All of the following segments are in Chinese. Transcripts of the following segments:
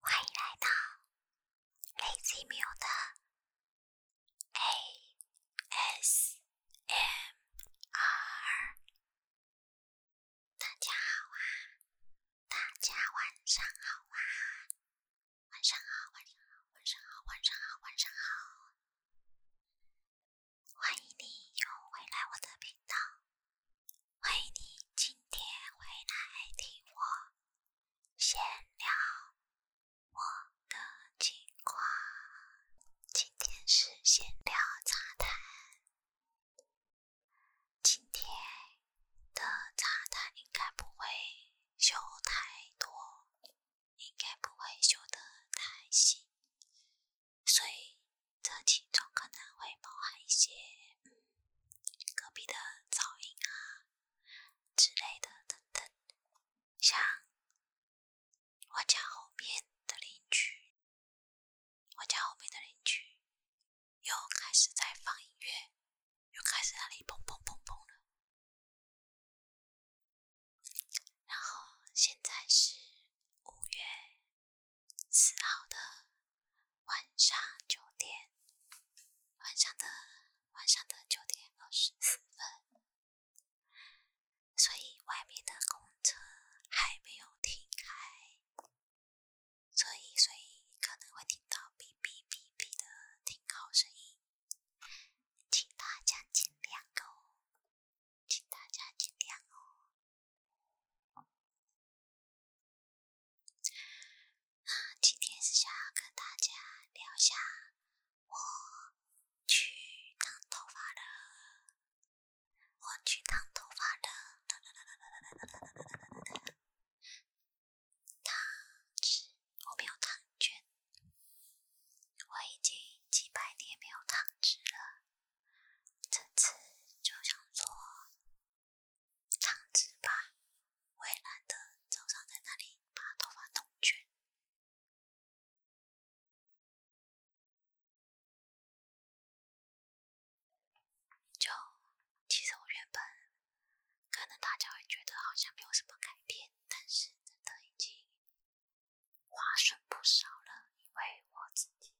欢迎来到 l a z 的 ASMR。大家好啊，大家晚上好啊。晚上好，晚上好，晚上好，晚上好，晚上好！欢迎你又回来我的频道，欢迎你今天回来听我闲聊我的情况。今天是闲聊茶谈，今天的茶谈应该不会。修太多，应该不会修得太细，所以这其中可能会包含一些隔壁的噪音啊之类的等等，像我家后面的邻居，我家后面的邻居又开始在放音乐。又开始那里砰砰砰砰了。然后现在是五月四号的晚上九点，晚上的晚上的九点二十四分，所以外面的公车还没有停开，所以所以可能会听到哔哔哔哔的停靠声音。请大家尽量哦，请大家尽量哦。啊，今天是想要跟大家聊下，我去烫头发的，我去烫头发的。糖纸，我没有糖卷，我已经几百天没有糖纸了，这次就想做糖纸吧，我也懒得早上在那里把头发弄卷，就其实我原本。可能大家会觉得好像没有什么改变，但是真的已经划算不少了。因为我自己，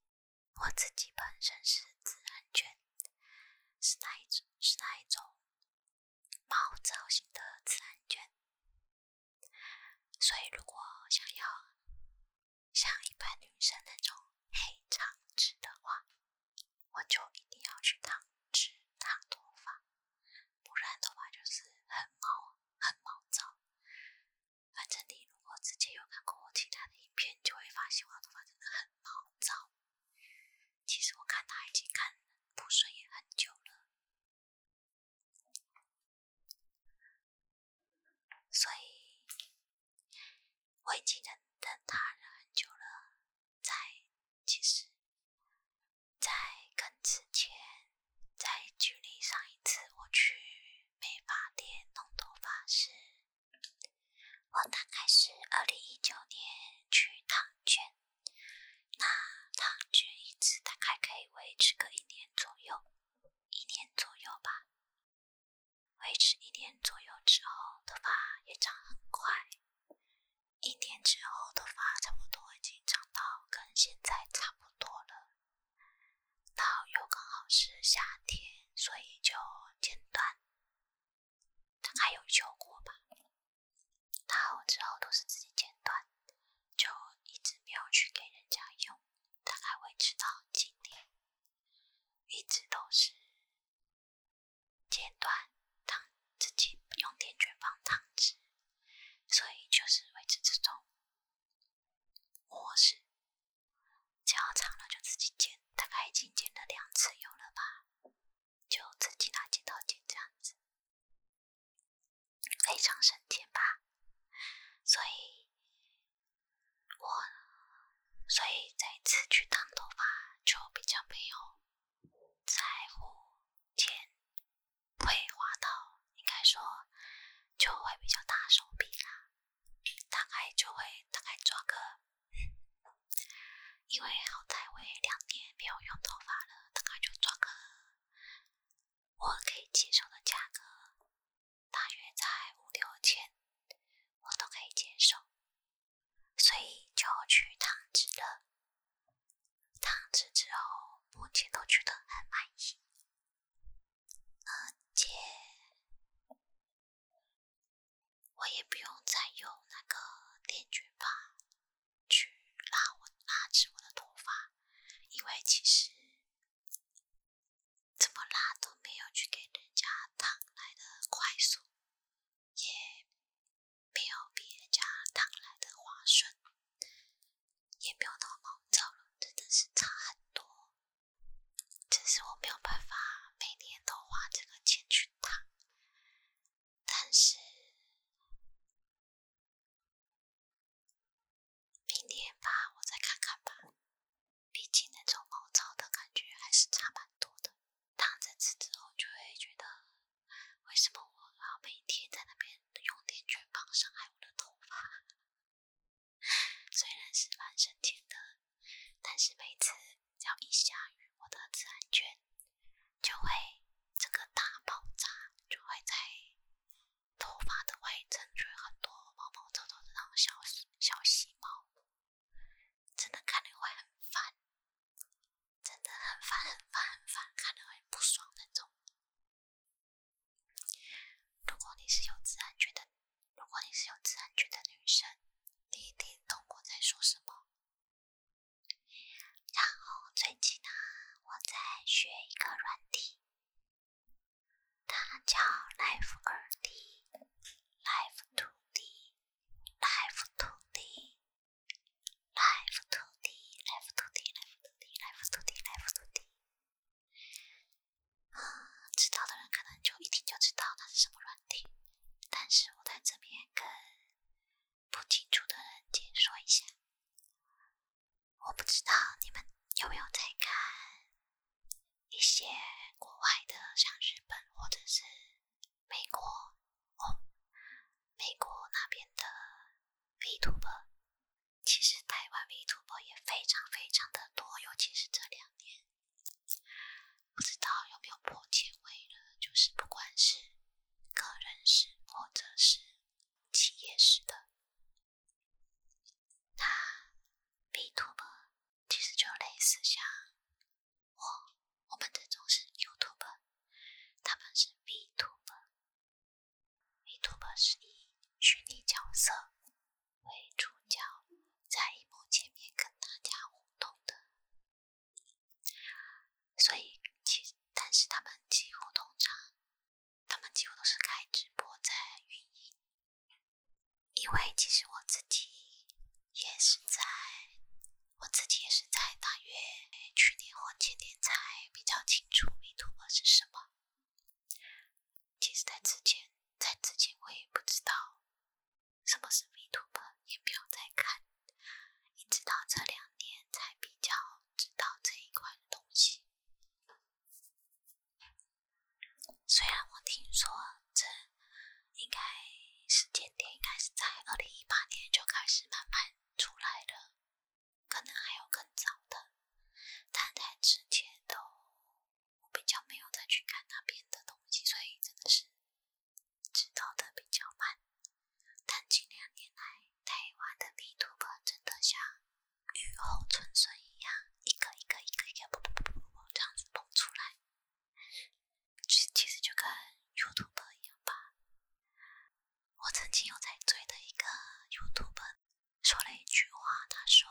我自己本身是自然卷，是那一种是那一种毛造型的自然卷，所以如果想要像一般女生那种黑长直的话，我就一定要去烫直、烫头发，不然头发就是很毛、很毛躁。反正你如果之前有看过我其他的影片，就会发现我头发真的很毛躁。其实我看他已经看不顺眼很久了，所以我已经忍等他忍很久了。在其实。在更之前，在距离上一次我去美发店弄头发时，我大概是二零一九年去烫卷，那烫卷一次大概可以维持个一年左右，一年左右吧，维持一年左右之后，头发也长很快。一年之后的话，差不多已经长到跟现在差不多了。然后又刚好是夏天，所以就剪短，大概有效过吧。然后之后都是自己剪短，就一直没有去给人家用，大概维持到今年，一直都是。剪断烫自己用电卷棒烫直，所以就是维持这种模式。只要长了就自己剪，大概已经剪了两次有了吧，就自己拿剪刀剪这样子，非常省钱吧。所以我所以这次去烫头发就比较没有在乎。钱会花到，应该说就会比较大手笔啦，大概就会大概做个，因为好歹我也两年没有用头发了，大概就做个我可以接受的价格，大约在五六千，我都可以接受，所以就去烫直了。烫制之后，目前都觉得很满意，而且我也不用再用那个电卷棒去拉我拉直我的头发，因为其实怎么拉都没有去给人家烫来的快速。也没有别人家烫来的划算，也没有那么毛躁了，真的是差很多。只是我没有办法每年都花这个钱去烫，但是明天吧，我再看看吧。毕竟那种毛躁的感觉还是差蛮多的，烫这次之后就会觉得。为什么我要每天在那边用电卷棒伤害我的头发？虽然是蛮省钱的，但是每次只要一下雨，我的自然卷就会这个大爆炸，就会在头发的外层出很多毛毛躁躁的那种小小细毛，真的看的会很烦。真的很烦，很烦，很烦，看得很不爽那种。如果你是有自然觉的，如果你是有自然觉的女生，你一定懂我在说什么？然后最近呢，我在学一个软体，它叫 Life 2D，Life 2D，Life 2D。Life to the life to the life to the life to the life to the 啊，知道的人可能就一听就知道那是什么软体，但是我在这边跟不清楚的人解说一下。我不知道你们有没有在看一些国外的，像日本或者是美国，哦。美国那边的 Vtuber，其实台湾 Vtuber 也非常非常的多，尤其是这两年，不知道有没有破千位了，就是不管是个人式或者是企业式的，那 Vtuber 其实就类似像我我们这种是 YouTuber，他们是 Vtuber。米兔博是以虚拟角色为主角，在一幕前面跟大家互动的，所以其但是他们几乎通常，他们几乎都是开直播在运营，因为其实我自己也是在。我自己也是在大约去年或前年才比较清楚迷图本是什么。其实在之前，在之前我也不知道什么是迷图本，也没有在看，一直到这两年才比较知道这一块东西。虽然我听说这应该时间点应该是在二零一八年就开始慢慢出来了。可能还有更早的，但在之前都比较没有再去看那边的东西，所以真的是知道的比较慢。但近两年来，台湾的 B 主播真的像雨后春笋一样，一个一个一个一个这样子蹦出来，其实就跟 y o u t u b e 一样吧。我曾经有在追的一个 YouTuber，说了一句话，他说：“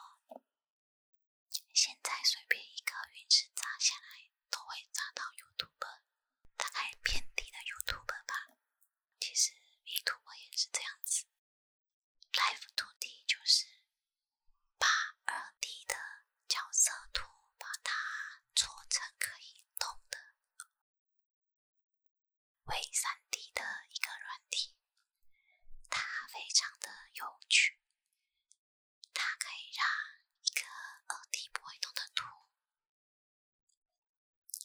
现在随便一个陨石砸下来，都会砸到 YouTuber，大概遍地的 YouTuber 吧。”其实 Vtuber 也是这样子，Live 2D 就是把 2D 的角色图把它做成可以动的。为 3D 的一个软体，它非常的有趣，它可以让一个 2D 不会动的图，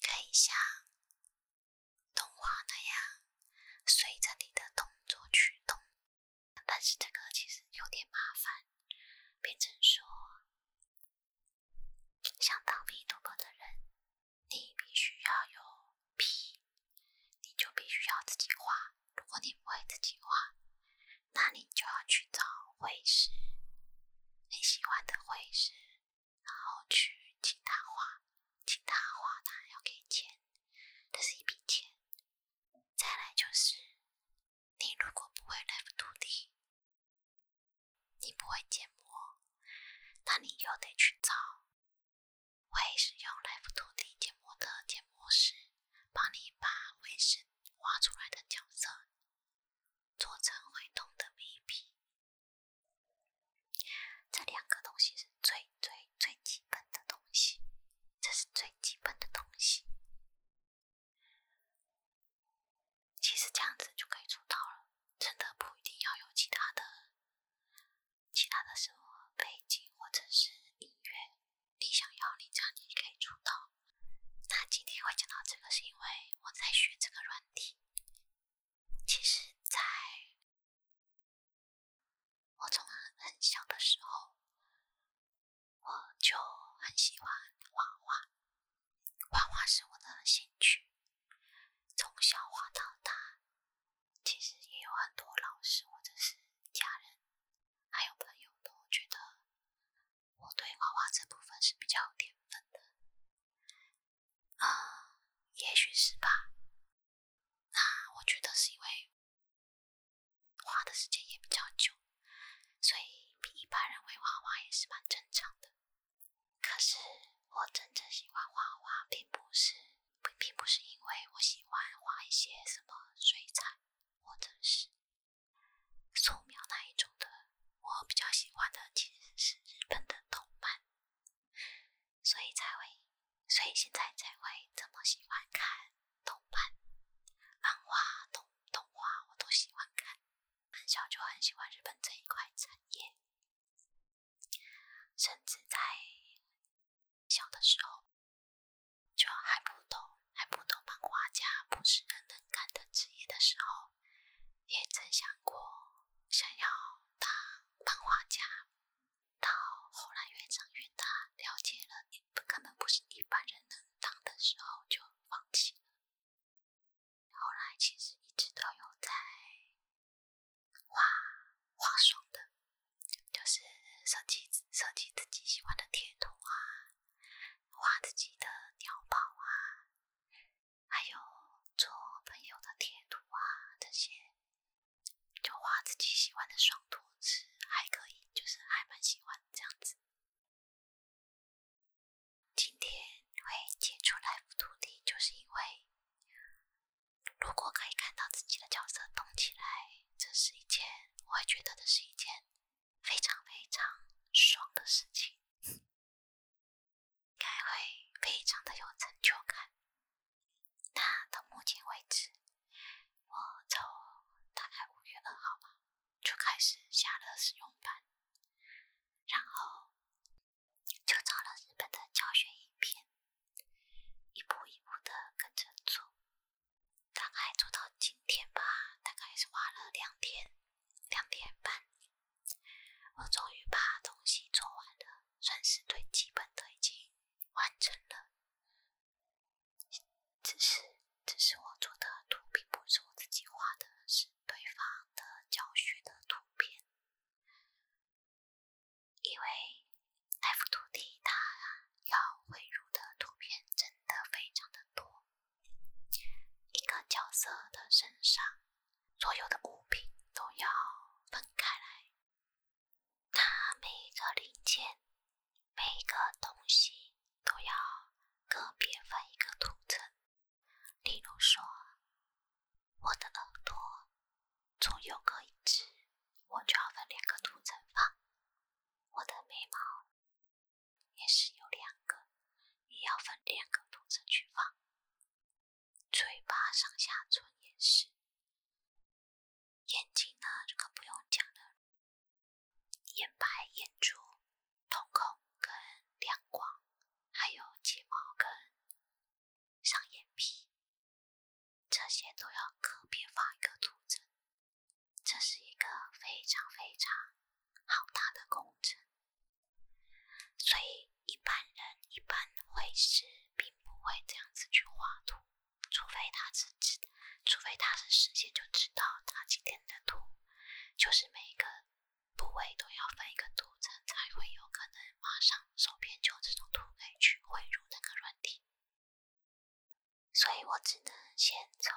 可以像动画那样，随着你的动作去动。但是这个其实有点麻烦，变成说。想当皮图哥的人，你必须要有皮，你就必须要自己画。如果你不会自己画，那你就要去找绘师，你喜欢的绘师，然后去请他画，请他画，他要给钱，这是一笔钱。再来就是，你如果不会 Live 涂地。你不会建模，那你又得去找会使用 Live2D 建模的建模师，帮你把卫生画出来的角色做成会动的 V.P。这两个东西是最最最基本的东西，这是最基本的东西。其实这样子就可以出道了，真的不一定要有其他的、其他的生活背景或者是音乐，你想要你这样你可以出道。那今天会讲到这个是因为我在学这个软体。其实，在我从很小的时候，我就很喜欢画画。画画是我的兴趣，从小画到大，其实也有很多老师或者是家人，还有朋友都觉得我对画画这部分是比较有天分的。啊，也许是吧。那我觉得是因为画的时间也比较久，所以比一般人会画画也是蛮正常的。可是，我真正喜欢画画，并不是，并并不是因为我喜欢画一些什么水彩，或者是素描那一种的。我比较喜欢的其实是日本的动漫，所以才会，所以现在才会这么喜欢看动漫、漫画、动动画，我都喜欢看。很小就很喜欢日本这一块产业，甚至在小的时候就还不懂还不懂漫画家不是人能干的职业的时候，也曾想过想要当漫画家。到后来越长越大，了解了根本不是一般人能当的时候，就放弃了。后来其实一直都有在画画双的，就是设计设计自己喜欢的贴图啊，画自己的鸟包啊，还有做朋友的贴图啊，这些就画自己喜欢的双图是还可以，就是还蛮喜欢这样子。今天会接触来福土地，就是因为如果可以看到自己的角色动起来，这是一件我会觉得这是一件非常非常爽的事情，应该会非常的有成就感。那到目前为止，我从大概五月二号吧就开始下了试用版，然后。就找了日本的教学影片，一步一步的跟着做，大概做到今天吧，大概是花了两天、两点半，我终于把东西做完了，算是最基本的已经完成了。只是，只是我做的图并不是我自己画的，是。对方的教学的图片，因为 f 图题它要绘入的图片真的非常的多，一个角色的身上所有的物品都要分开来，它每一个零件、每一个东西都要个别分一个图层。例如说，我的耳朵从右各一只，我就要分两个图层放。我的眉毛也是有两个，也要分两个图层去放。嘴巴上下唇也是。眼睛呢，这个不用讲了，眼白、眼珠。瞳孔跟亮光，还有睫毛跟上眼皮，这些都要个别画一个图层。这是一个非常非常好大的工程，所以一般人一般会是并不会这样子去画图，除非他自己，除非他是事先就知道他今天的图就是每一个。部位都要分一个图层，才会有可能马上手边就这种图可以去汇入那个软体。所以我只能先从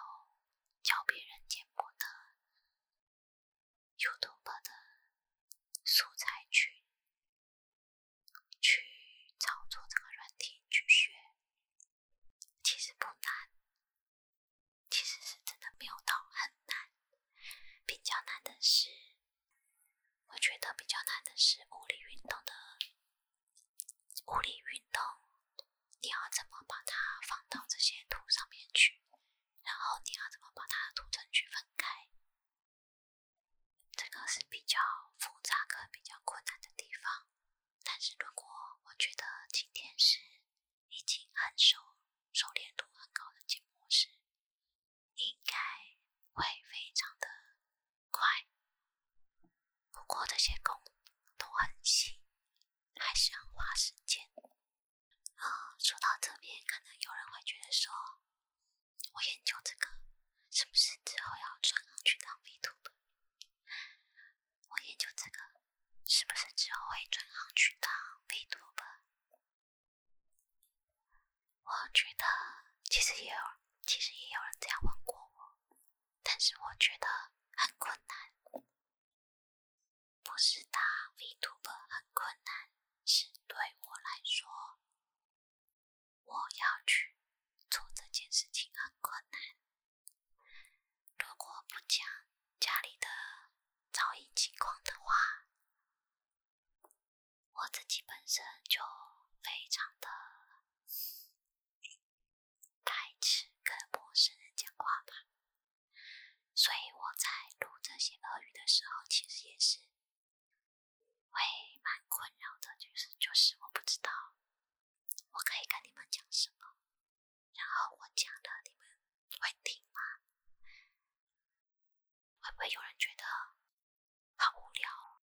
教别人建模的 YouTube 的素材去去操作这个软体去学，其实不难。其实是真的没有到很难，比较难的是，我觉得比较难的是物理运动的物理运动，你要怎么把它放到这些图上面去，然后你要怎么把它图层区分开，这个是比较复杂和比较困难的地方。但是如果我觉得今天是。已经很熟熟练度很高的建模师，应该会非常的快。不过这些工都很细，还是要花时间。啊，说到这边，可能有人会觉得说，我研究这个，是不是之后要转行去当 v t u 我研究这个，是不是之后会转行去当 VTube？我觉得其实也有，其实也有人这样问过我，但是我觉得很困难，不是他 Vtuber 很困难，是对我来说，我要去做这件事情很困难。如果不讲家里的噪音情况的话。我自己本身就非常的排斥跟陌生人讲话吧，所以我在录这些俄语的时候，其实也是会蛮困扰的，就是就是我不知道我可以跟你们讲什么，然后我讲了，你们会听吗？会不会有人觉得好无聊，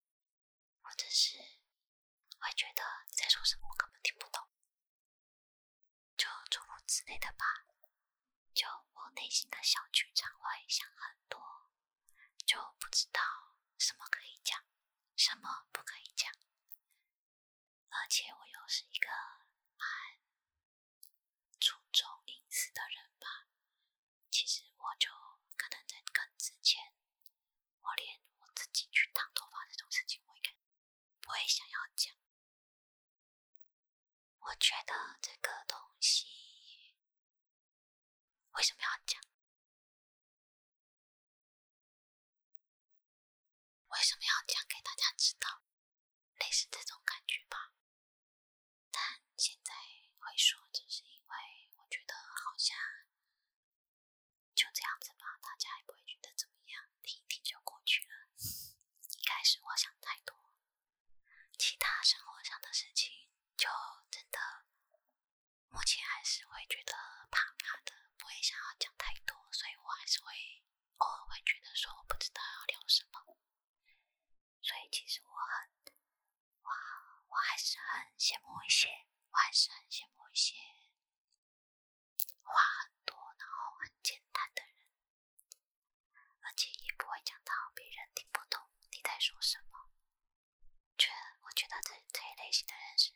或者是会觉得你在说什么我根本听不懂，就诸如此类的吧。就我内心的小剧场会想很多，就不知道什么可以讲，什么不可以讲，而且我又是一个注重隐私的人吧，其实我就可能在更之前，我连我自己去烫头发这种事情，我也该不会想要讲。我觉得这个东西为什么要讲？为什么要讲给大家知道？类似这种感觉吧，但现在会说，只是因为我觉得好像就这样子吧，大家也不会觉得怎么样，听一听就过去了。一开始我想太多，其他生活上的事情就真的目前还是会觉得怕怕的，不会想要讲太多，所以我还是会偶尔会觉得说，我不知道要聊什么。所以其实我很，我我还是很羡慕一些，我还是很羡慕一些话很多，然后很简单的人，而且也不会讲到别人听不懂你在说什么。觉，我觉得这这一类型的人是，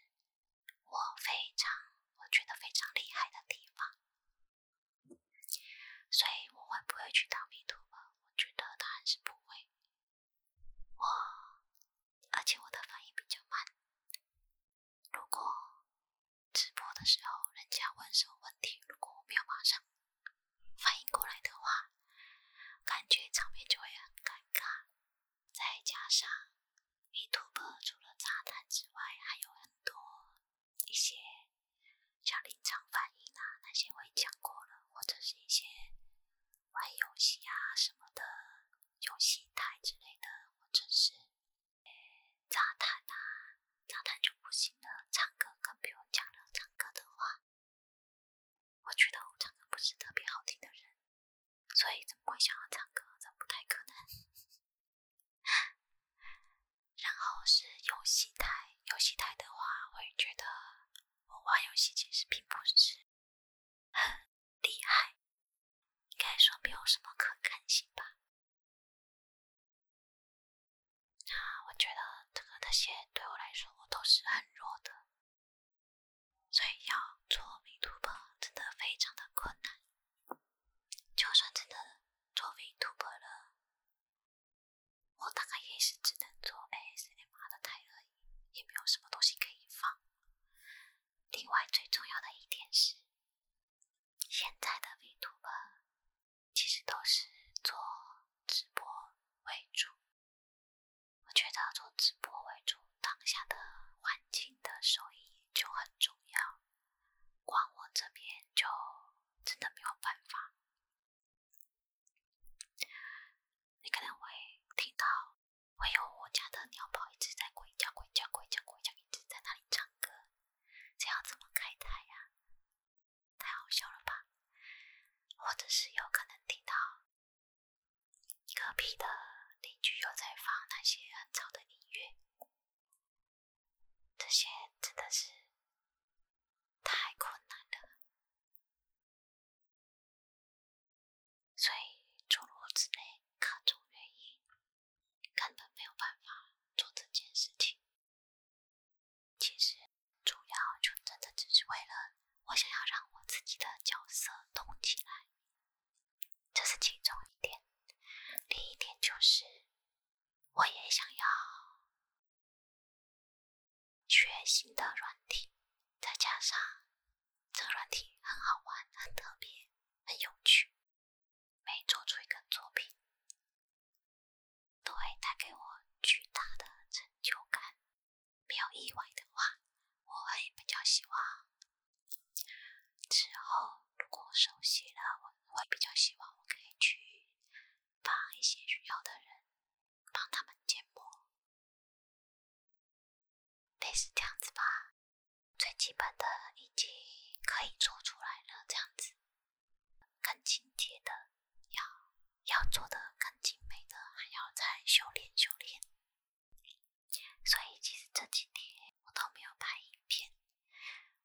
我非常，我觉得非常厉害的地方。所以我会不会去当 B e r 我觉得答案是不会。我而且我的反应比较慢。如果直播的时候人家问什么问题，如果我没有马上反应过来的话，感觉场面就会很尴尬。再加上 B e r 除了炸弹之外，还有很多。一些像临场反应啊，那些我也讲过了，或者是一些玩游戏啊什么的游戏台之类的，或者是诶，炸弹啊，炸弹就不行了。唱歌更不用讲了，唱歌的话，我觉得我唱歌不是特别好听的人，所以怎么会想要唱歌？这不太可能。然后是游戏台，游戏台的话，我觉得我玩游戏其实并不是很厉害，应该说没有什么可看性吧。那我觉得这个那些对我来说，我都是很弱的，所以要做弊突破真的非常的困难。就算真的作弊突破了。我大概也是只能做 ASMR 的台而已，也没有什么东西可以放。另外最重要的一点是，现在的 Vtuber 其实都是做直播为主。我觉得做直播为主，当下的环境的收益就很重要。光我这边就真的没有办法。你可能会听到，会有我家的鸟宝一直在“鬼叫鬼叫鬼叫鬼叫”一直在那里唱歌，这样怎么开台呀？太好笑了吧？或者是有可能听到隔壁的邻居又在放那些很吵的音乐。这些真的是太困难了，所以诸如此类各种原因，根本没有办法做这件事情。其实主要就真的只是为了我想要让我自己的角色动起来，这是其中一点。另一点就是，我也想要。全新的软体，再加上这软体很好玩、很特别、很有趣，每做出一个作品都会带给我巨大的成就感。没有意外的话，我会比较希望之后如果熟悉了，我会比较希望我可以去。帮一些需要的人，帮他们建模，类似这样子吧。最基本的已经可以做出来了，这样子。更清洁的要要做的更精美的，还要再修炼修炼。所以其实这几天我都没有拍影片，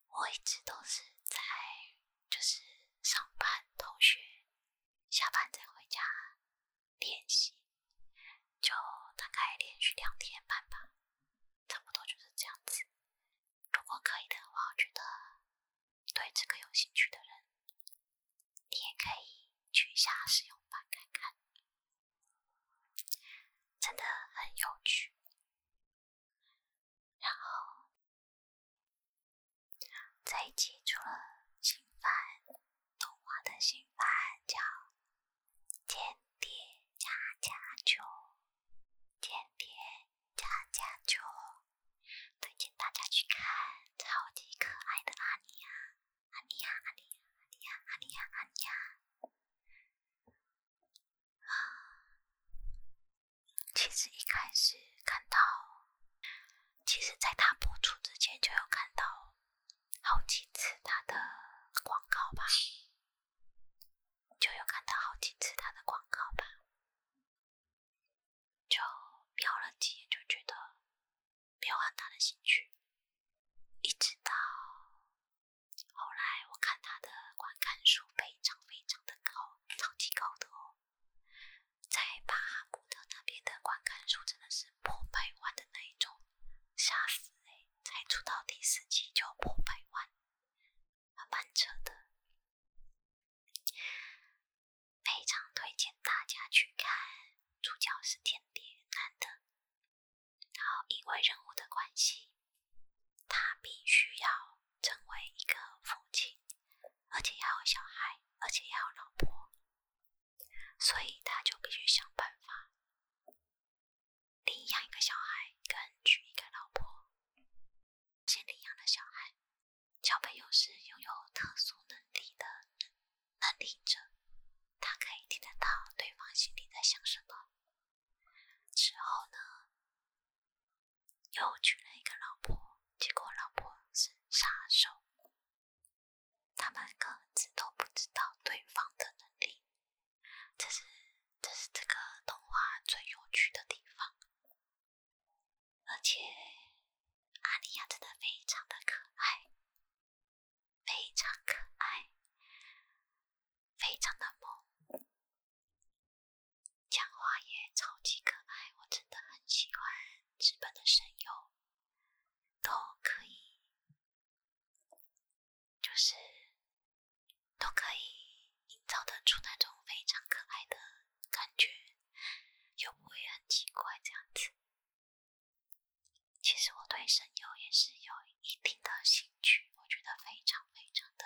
我一直都是在。就是上班、同学、下班再回家练习，就大概连续两天半吧，差不多就是这样子。如果可以的话，我觉得对这个有兴趣的人，你也可以去一下试用版看看，真的很有趣。然后，再记住了新番，动画的新番叫《天谍加加酒》，《天谍加加酒》，推荐大家去看，超级可爱的阿尼亚，阿尼亚，阿尼亚，阿尼亚，阿尼亚，阿尼亚。其实一开始看到，其实，在他播出之前就有看到好几次他的广告吧，就有看到好几次他的广告吧，就瞄了几眼就觉得没有很大的兴趣，一直到后来我看他的观看数非常非常的高，超级高的哦。在巴哈古特那边的观看数真的是破百万的那一种，吓死嘞！才出到第四期就破百万，蛮扯的。非常推荐大家去看，主角是天蝎男的，然后因为人物的关系，他必须要。成为一个父亲，而且要有小孩，而且要有老婆，所以他就必须想办法领养一个小孩，跟娶一个老婆。先领养了小孩，小朋友是拥有特殊能力的能力者，他可以听得到对方心里在想什么。之后呢？又娶了一个老婆，结果老婆是杀手。他们各自都不知道对方的能力，这是这是这个动画最有趣的地方。而且，阿尼亚真的非常的可爱，非常可爱，非常的萌。讲话也超级可爱，我真的很喜欢日本的声优，都可以，就是都可以营造得出那种非常可爱的感觉，又不会很奇怪这样子。其实我对声优也是有一定的兴趣，我觉得非常非常的。